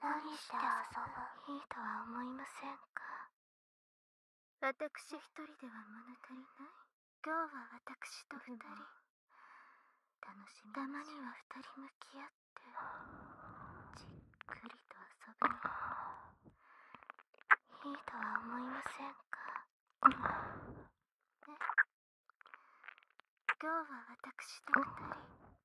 何して遊ぶいいとは思いませんか私一人では物足りない今日は私と二人楽しみたまには二人向き合ってじっくりと遊ぶいいとは思いませんか、ね、今日は私と二人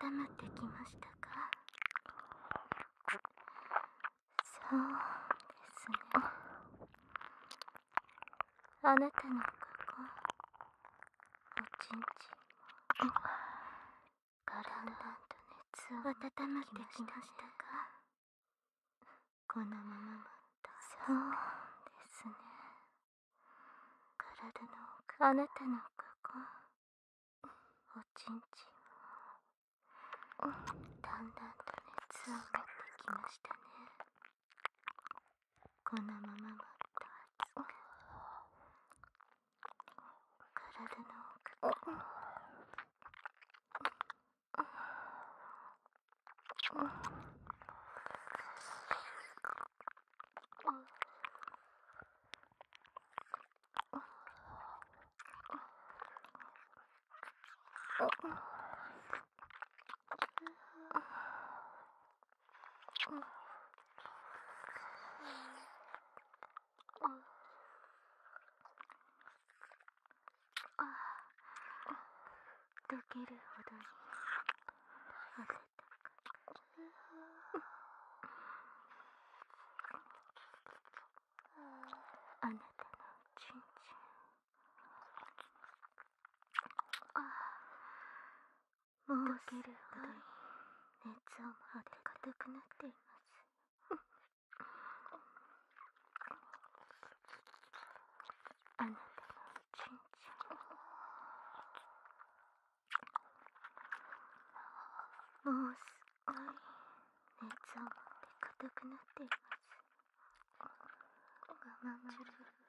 温まってきましたかそうですねあなたのここちんちんもだんだんと熱を温めてきましたかこのままだそうですね体のあなたのここおちんちんもだんだんと熱を持っきましたねこのままもっと熱く体の奥から溶けるほどに温かあなたのちんちんあもうすぐ熱を持って硬くなっていますあなたのちんちんもうすごい熱を持って硬くなっています我慢す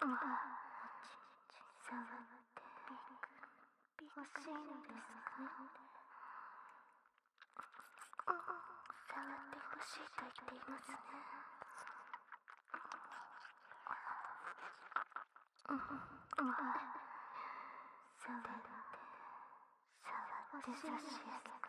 あさわって欲しいのですか触ってほしいと言っていますね。触って、触って差して…げか。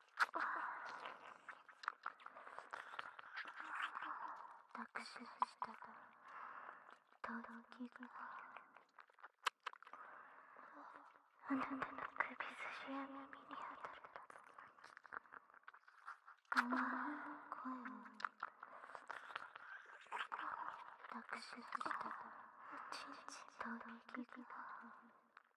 託ししたと動機があなたの首筋や耳に当たっるあの声を託ししたと動機が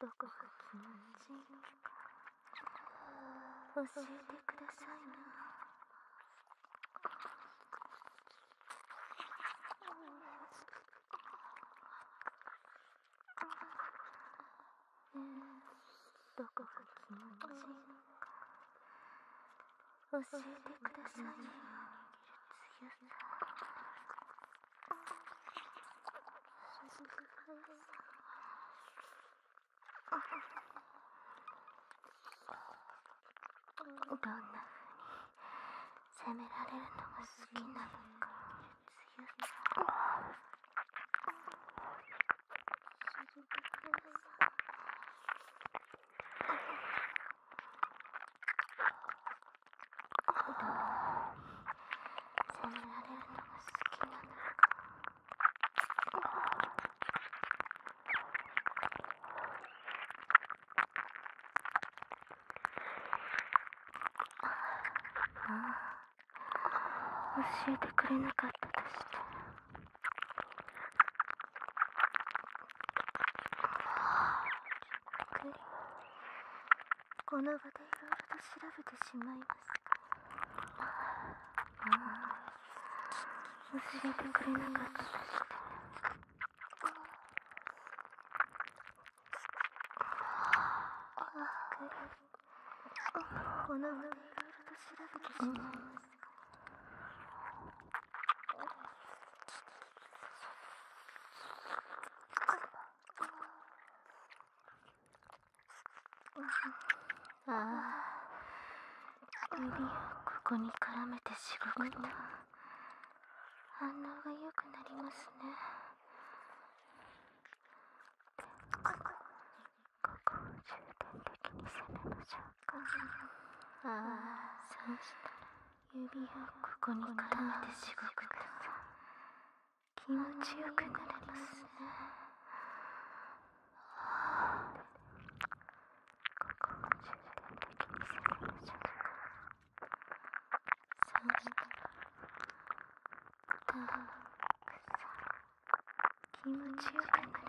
どこか気持ちいいか教えてくださいな、ね、どこが気持ちいいか教えてくださいな。どんな風に責められるのが好きなのか強責められるのが好きなの。あ教えてくれなかったとしてゆっくり、この場でいろいろと調べてしまい教えてくれなかったとしてこの胸いろいろと調べてしまいます。ああ指をここに絡めてしごくと反応がよくなりますねここを重点的に攻めましょうかああそうしたら指をここに絡めてしごくと気持ちよくなれますねここも重点的に攻めましょうかそうだたくさ気持ちよくなれますね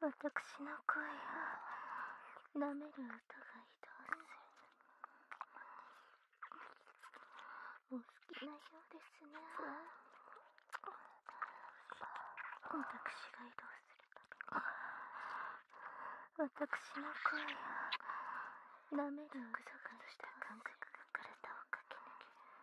私の声を舐める音が移動するお好きなようですね私が移動する私の声を舐める音が移動した感覚が体を駆け抜ける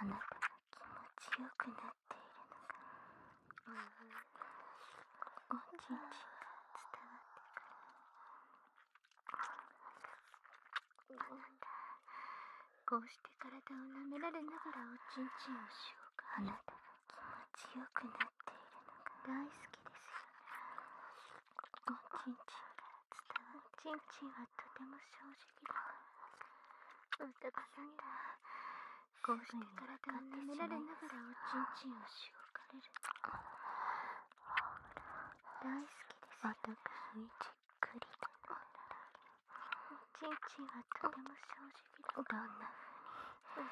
あなたが気持ちよくなっているのが、うおちんちんが伝わってくるあなたこうして体を舐められながらおちんちんをしようかあなた気持ちよくなっているのが大好きですよおちんちんか伝わる。ちんちんはとても正直だから。おたかさんだ。こうして体を舐められながらおちんちんをしごかれる。大好きですよ、ね。私じっくりと舐められる。チンチンはとても正直だどんなふうに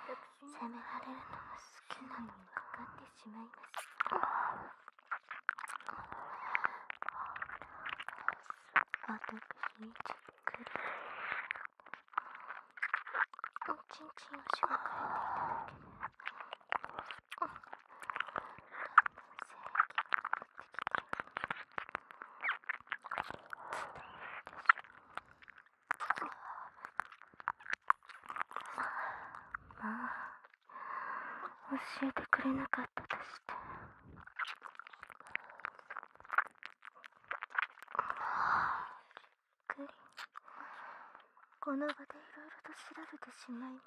責められるのが好きなのにかかってしまいます私にじっくりおちんちんを紹介いただける私はまあ教えてくれなかったとしてびっくりこの場でいろいろと調べてしまいますが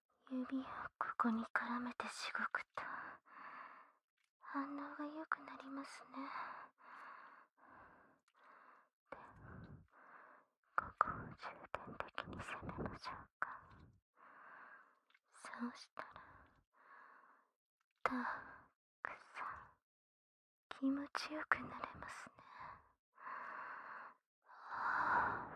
指をここに絡めてしごくと反応がよくなりますねでも、ここを重点的に攻めましょうかそうしたらたくさん気持ちよくなれますねは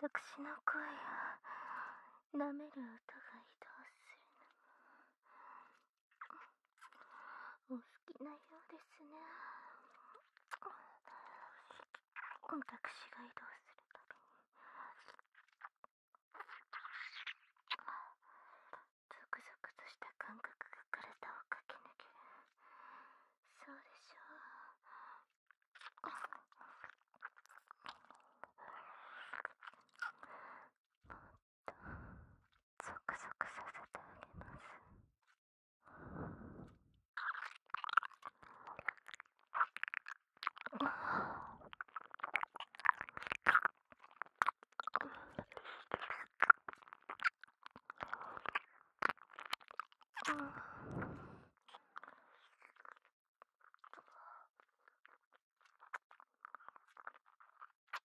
私の声を舐める音が移動するのお好きなようですね私が移動するたびにゾクゾクとした感覚が体を駆け抜けるそうでしょうもうゾクゾクさせてあげます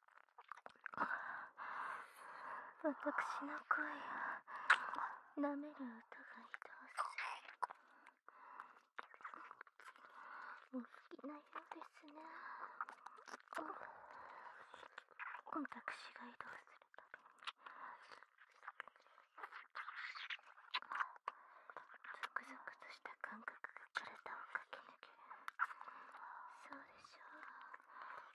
わたくしの声を舐める音が移動するお好きなようですねわたくしが移動するたびにゾクとした感覚が体を駆け抜けるそうでしょう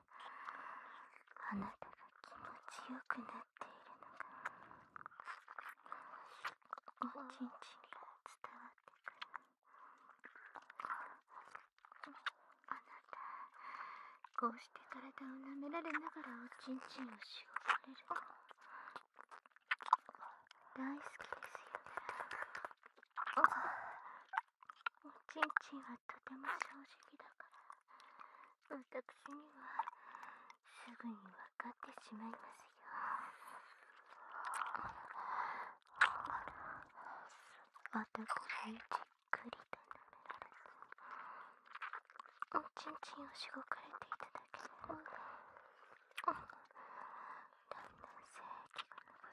あなたが気持ちよくなっているのがおちんちんが伝わってくるあなたこうして体を舐められながらおちんちんをしおばれるの…大好きですよねちんちんはとても正直だからわたくしにはすぐにわかってしまいますよわたしにじっくりと舐められて…ちんちんをしごかれていただけでだんだん性器が上っ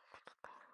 てきてい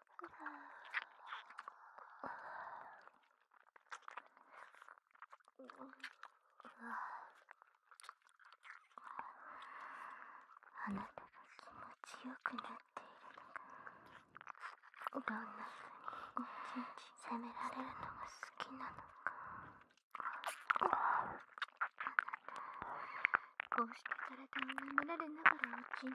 あなたが気持ちよくなっているのがどんな風にち責められるのが好きなのかあなたこうして体を舐められながらち日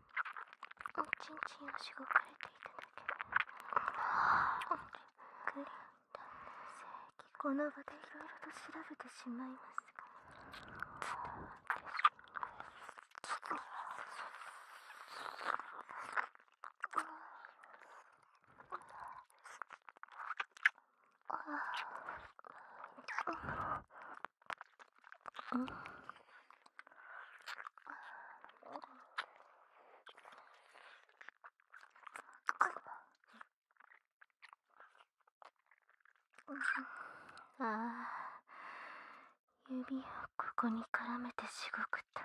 おちんちんをしごかれていただけるグリーン男性この場でいろいろと調べてしまいますが伝わってしまいますああ指をここに絡めてしごくと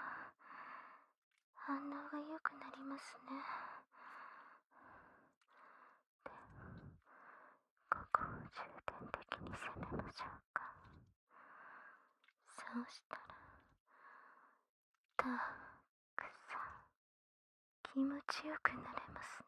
反応がよくなりますねでここを重点的に攻めましょうかそうしたらたくさん気持ちよくなれますね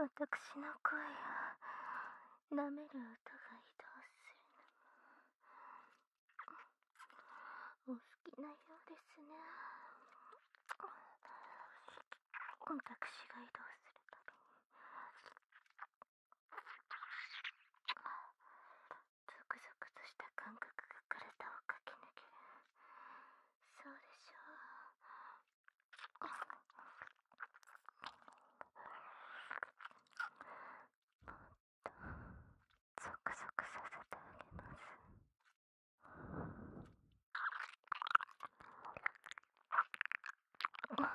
わたくしの声を舐める音が移動するのもお好きなようですね私が移動するたゾクゾクとした感覚が体を駆け抜けるそうでしょうもっとゾクゾクさせてあげます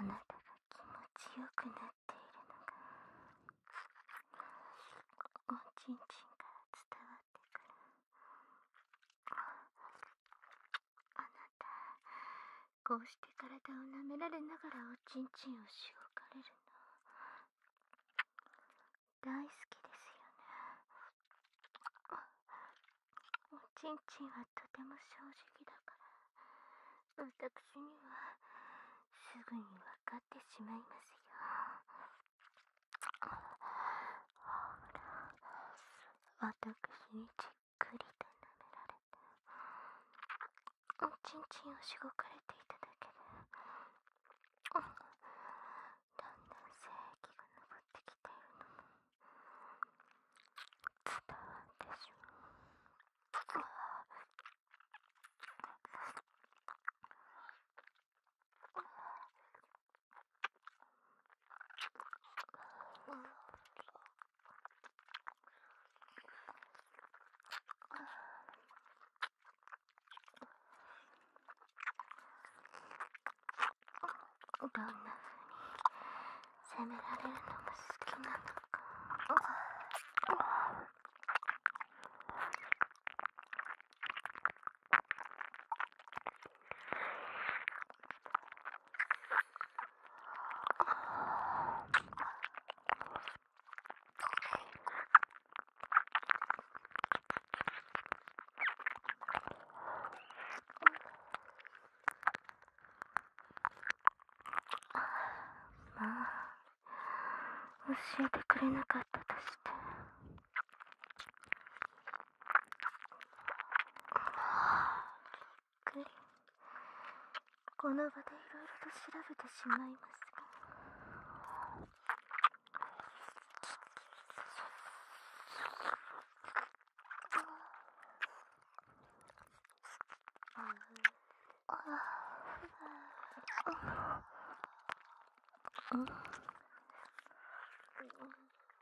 あなたが気持ちよくなっているのがおちんちんから伝わあなたこうして体を舐められながらおちんちんをしごかれるの大好きですよねおちんちんはとても正直だから私にはすぐにわかってしまいますよほら私にじっくりと舐められておちんちんをしごかれていただけでだんだん精液が上ってきているのも伝わってしまう。どんな風に責められるのも好きなのか。まあ教えてくれなかったとして。っくりこの場でいろいろと調べてしまいますがうん。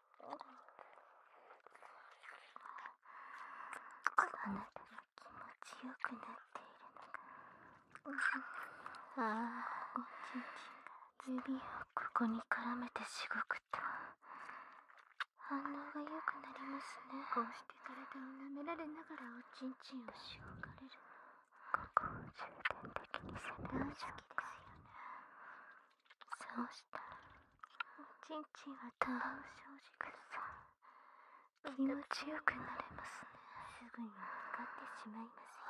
あなたが気持ちよくなっているのがああ指をここに絡めてしごくと反応がよくなりますねこうして体を舐められながらおちんちんをしごかれるここを重点的にするの好きですよねそうしたら、ちんちんはたまを生じくさ気持ちよくなれますねすぐにわかってしまいますよ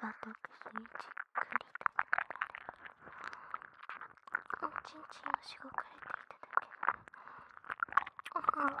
私にじっくりとおちんちんのしごかれていただけ、ん、んだん性器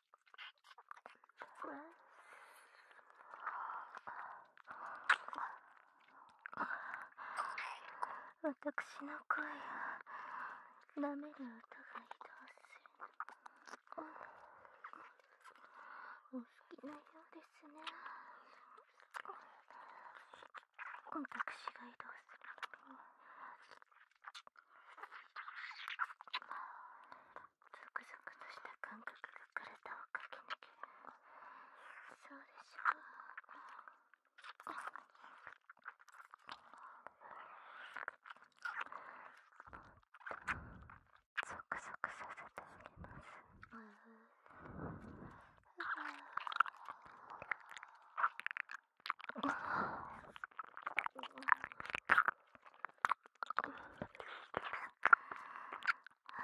私の声を舐める音が移動するお好きなようですね私が移動するたびにザクザクとした感覚が体を駆け抜けそうでしょうゾクゾクさせてあげますうんうん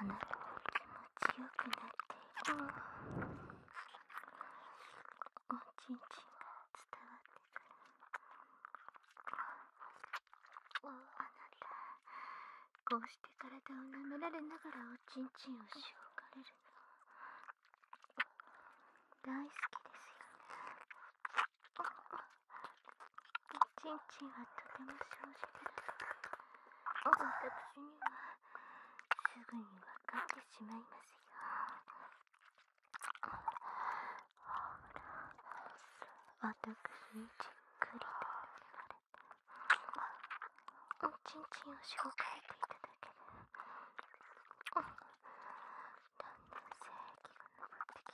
あなたも気持ちよくなっているおちんちんが伝わってくるあなたこうして体を舐められながらおちんちんをしおかれるの大好きですよねチンチンはとても正直で、私にはすぐに分かってしまいますよほら、私にじっくりとおちんちんを紹介ていただけるだんだん正義が昇ってきて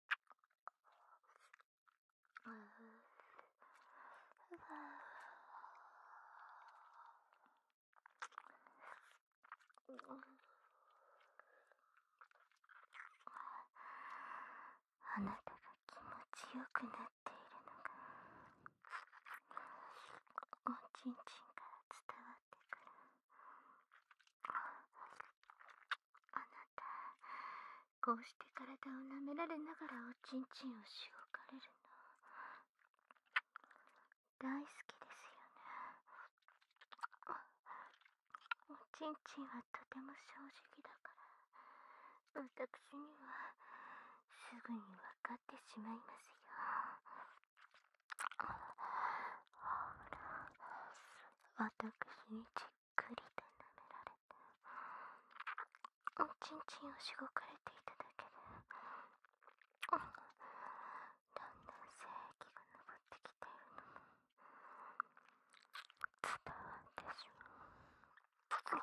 あなたが気持ちよくなっているのがおちんちんから伝わってくる。あなたこうして体を舐められながらおちんちんをしごかれるの大好きですよねおちんちんはとても正直だから私にはすぐにわかってしまいますよほら私にじっくりと舐められておちんちんをしごかれていただけでだんだん精液が上ってきているのも伝わってしまう。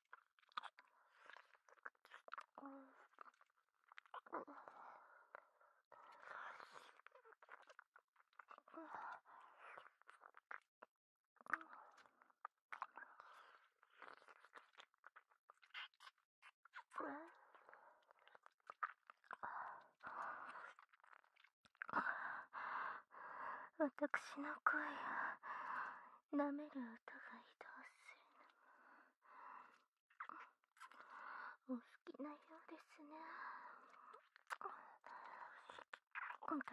わたくしの声舐める音が移動するのもお好きなようですね私が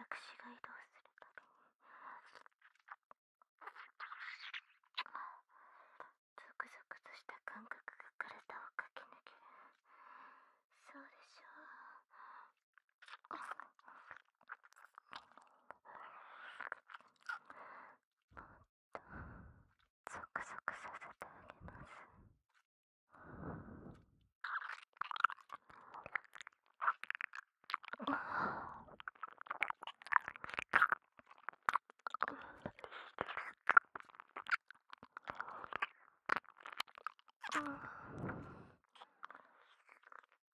移動するたにゾクゾクとした感覚が体を駆け抜けるそうでしょうもっと、ゾクゾクさせてあげます。ん、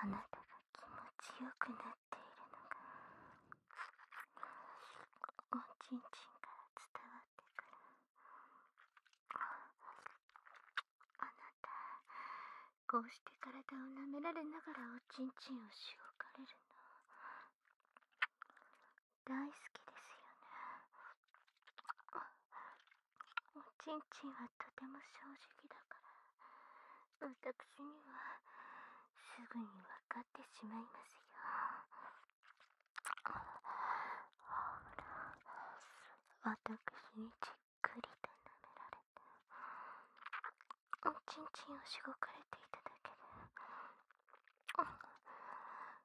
あなたが気持ちよくなっているのがおちんちんから伝わってくるあなたこうして体を舐められながらおちんちんをしおかれるの大好きですよねおちんちんはとても正直だから私にはすぐに分かってしまいますよほら私にじっくりと舐められておちんちんをしごかれていただけで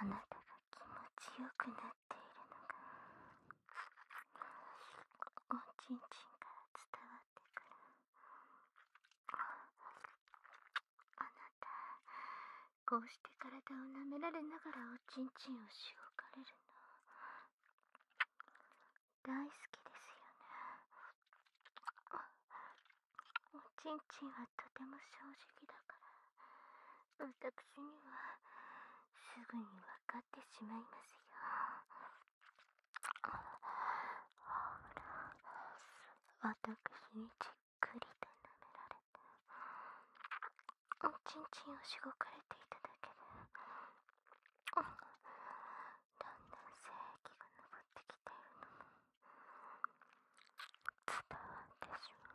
あなたが気持ちよくなっているのがおちんちんから伝わってくるあなたこうして体を舐められながらおちんちんをしおかれるの大好きですよねおちんちんはとても正直だからわたくしにはすぐにわかわってしまいますよ。ほら、私にじっくりと舐められて、おちんちんをしごかれていただけで、だんだん精液が上ってきているのも伝わってしまう。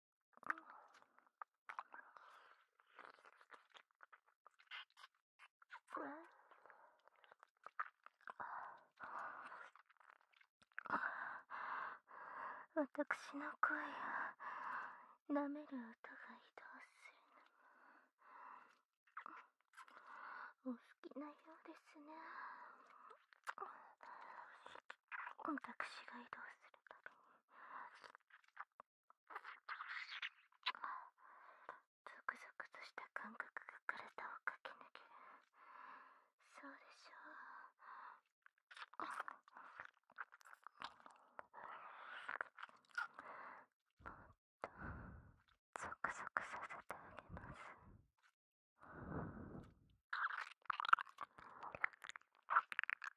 私の声を舐める音が移動するのお好きなようですね私が移動するたびにゾクゾクとした感覚が体を駆け抜けるそうでしょうもっとゾクゾクさせてあげます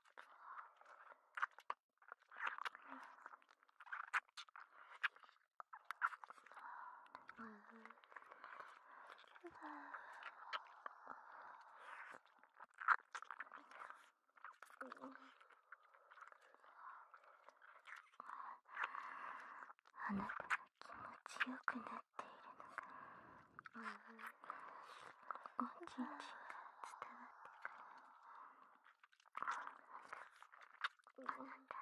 あなたが気持ちよくなっているのがちんちん伝わってくるあなた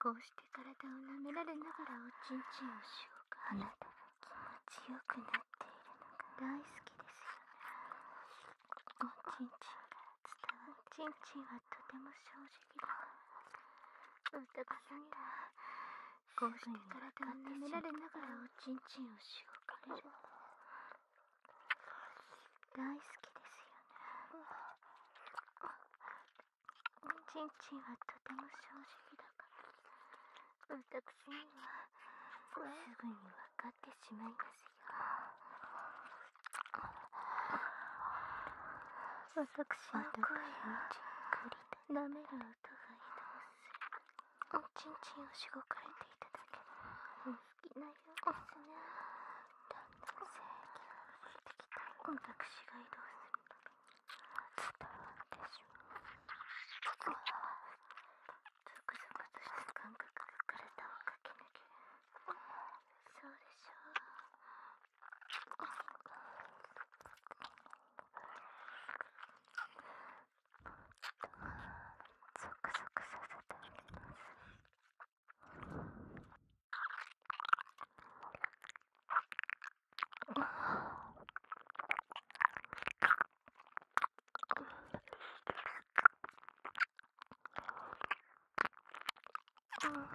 こうして体を舐められながらおちんちんをしようかあなた気持ちよくなっているのが大好きですよおちんちんが伝わるちんちんはとても正直だ男さんだゴーシに体を舐められながらおちんちんをしごかれる大好きですよねちんちんはとても正直だから私にはすぐに分かってしまいますよ私の声をじっくりは、舐める音が移動するおちんちんをしごかれていただける好きなようですねだ性域が薄れてきた私が移動する伝わってしまうわゾクゾクとした感覚が体を駆け抜けそうでしょうゾクゾクさせてあげます。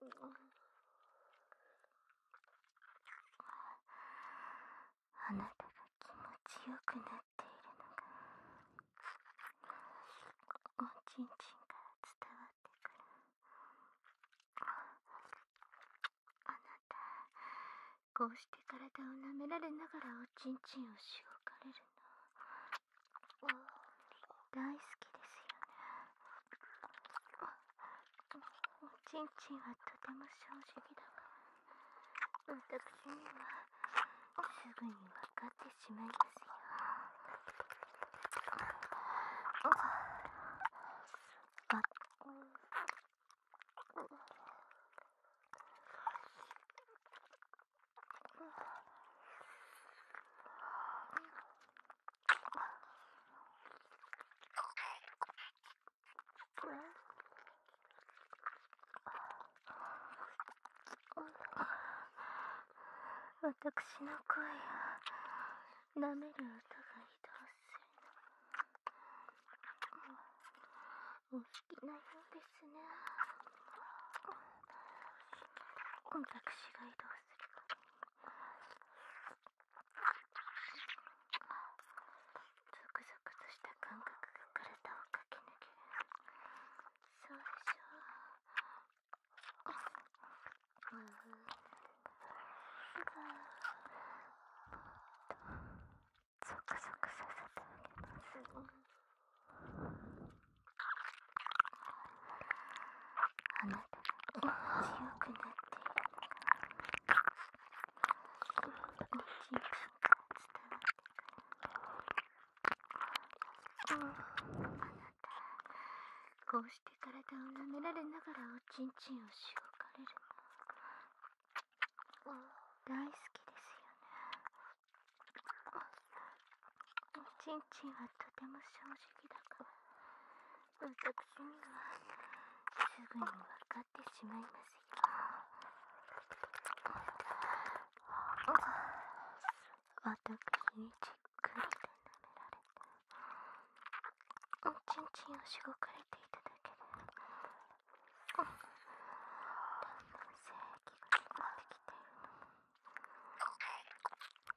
うんあなたが気持ちよくなっているのがおちんちんから伝わってくるあなたこうして体を舐められながらおちんちんをしごかれるの大好きですよねおちんちんはとても正直だが私にはすぐにわかってしまいますよあ私の声を舐める音が移動するのお好きなようですね私が移動するゾクゾクとした感覚が体を駆け抜けるそうでしょう、うん、ゾクゾクさせてあげます、あなたがよくなっているのが伝わってくるあなたこうして体を舐められながらおちんちんをしごかれるの大好きですよねおちんちんはとても正直だから。私にはすぐに分かってしまいますよ。私にじっくりと舐められて、ちんちんをしごかれていただける…だん精液が溜まってきて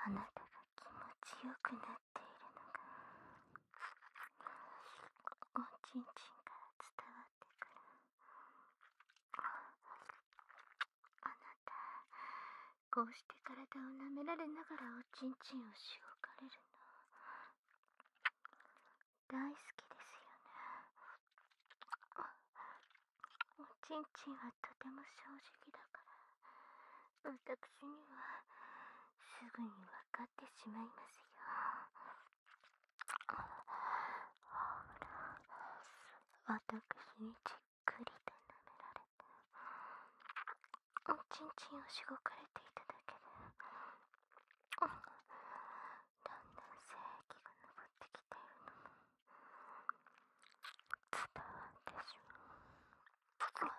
あなたが気持ちよくなっているのがおちんちんから伝わあなたこうして体を舐められながらおちんちんをしおかれるの大好きですよねおちんちんはとても正直だから私にはすぐにわかってしまいますよ私にじっくりと舐められておちんちんをしごかれていただけでだんだん精液が上ってきているのも伝わってしまう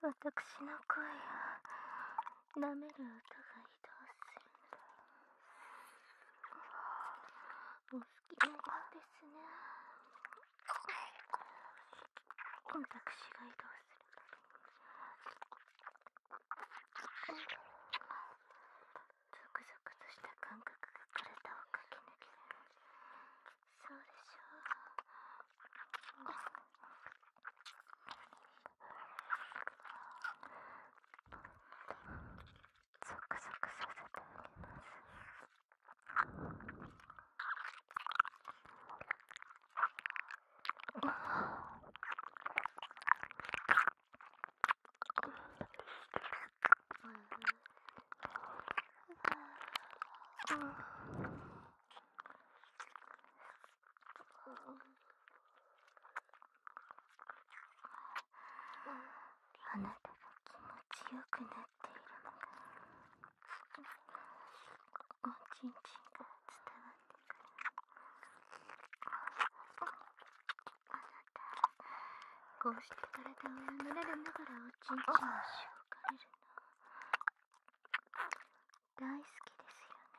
私の声を舐める音が移動するお好きなようですね私が移動するゾクゾクとした感覚が体を駆け抜けるそうでしょう。ゾクゾクさせてあげます。うん。あなたが気持ちよくなっているのがおちんちんが伝わってくるあなたこうして体を舐められながらおちんちんをしょかれるの大好きですよね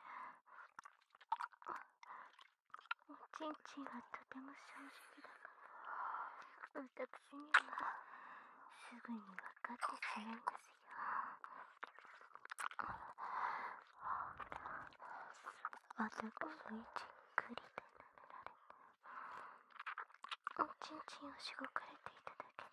おちんちんはとても正直だから私にはすぐに分かってしまいますよは私もじっくりとおちんちんをしごかれていただけで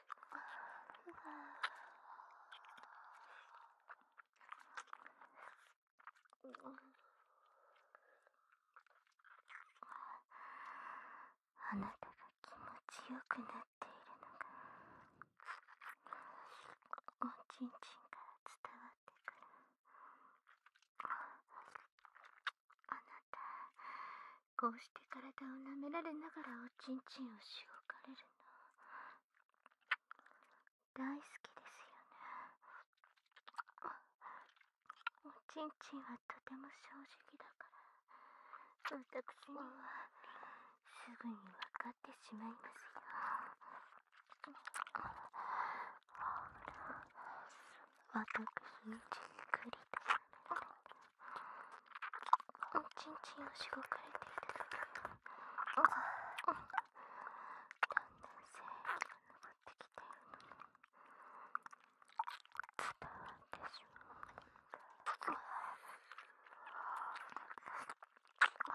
はあなたが気持ちよくなっているのがおちんちんから伝わってくるあなたこうして体を舐められながらおちんちんをしおかれる大好きですよねおちんちんはとても正直だから私にはすぐに分かってしまいますよ私にじっくりす…ちんちんをしごかれていたんだん精が上ってきてる伝わってしまうんだ。ああ。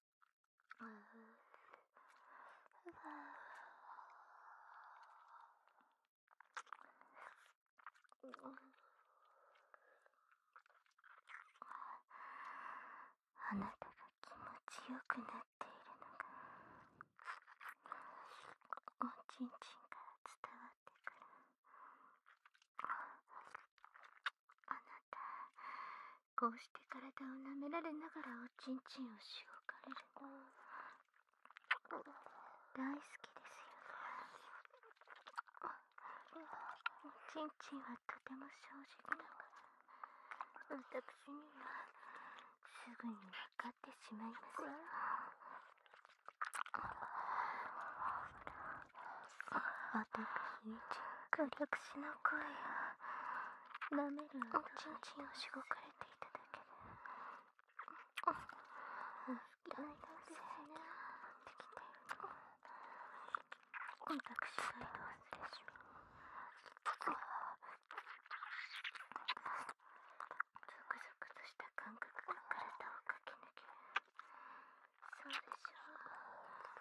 あなたが気持ちよくなっているのがおちんちんから伝わってくるあなたこうして体を舐められながらおちんちんをしごかれるの大好きですよおちんちんはとても正直な、か私にはすぐに分かってしまいますよ私にじっくり私の声や舐めるおちんちんをしごかれていただけでだんだん性になってきて私が移動してしまうそうでしょう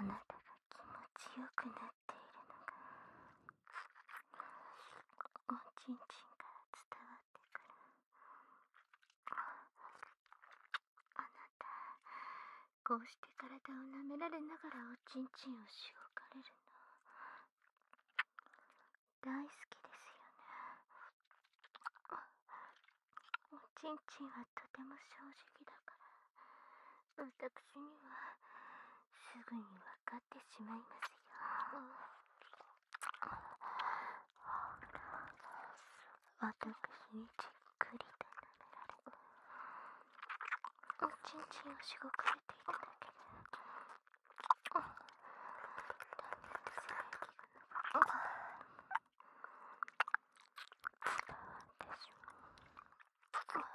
あなたが気持ちよくなっているのがおちんちんから伝わってくるあなたこうして体を舐められながらおちんちんをしごかれるの大好きですよねおちんちんはとても正直だから私にはすぐに分かってしまいますよ私にじっくりと舐められおちんちんをしごかれていただけるだんだんが伝わってしまう。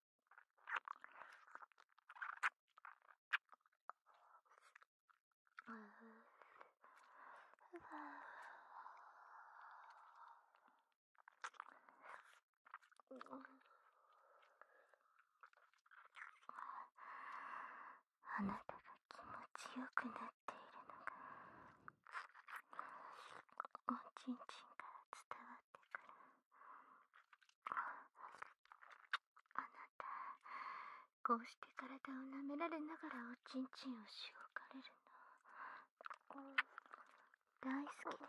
あなたが気持ちよくなっているのがおちんちんから伝わってくるあなたこうして体を舐められながらおちんちんをしごかれるの大好きですよね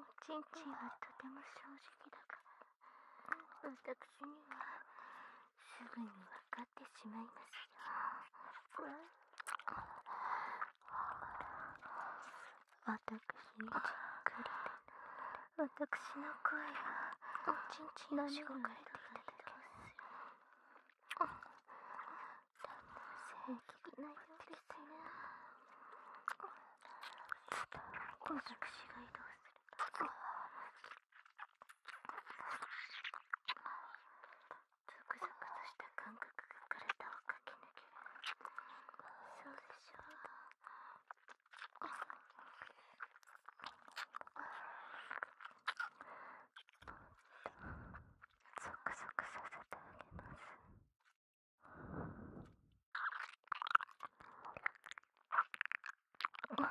おちんちんはとても正直だから私にはすぐにわかってしまいますよ私にじっくり私の声はおちんちんをしごかれていただけますよだんだん正ないようですね私が移動するクザクとした感覚が体を駆け抜けそうでしょうゾクゾクさせてあげます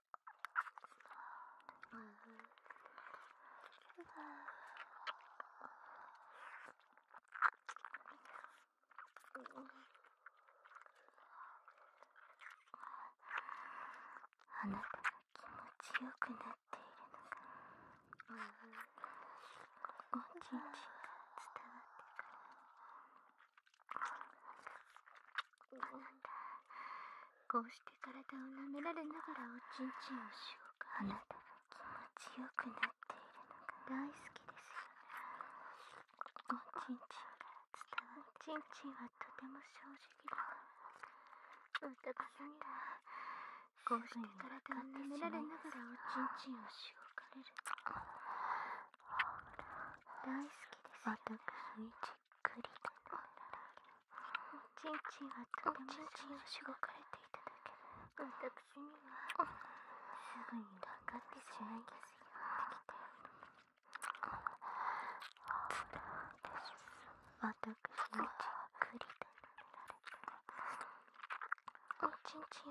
あなたが気持ちよくなっているのかおちんちんが伝わってくるこうして体を舐められながらおちんちんをしようかあなたは気ちよくないるのが大好きですよねおちんちんか伝わるおちんちんはとても正直だおたかさんだこうして体を舐められながらおちんちんをしようかれる大好きですよ、ね、私くりと飲んだらおちんちんがとてもしごかれていただけ私にはすぐに分かってしまいますよ私はくりれていただける男性器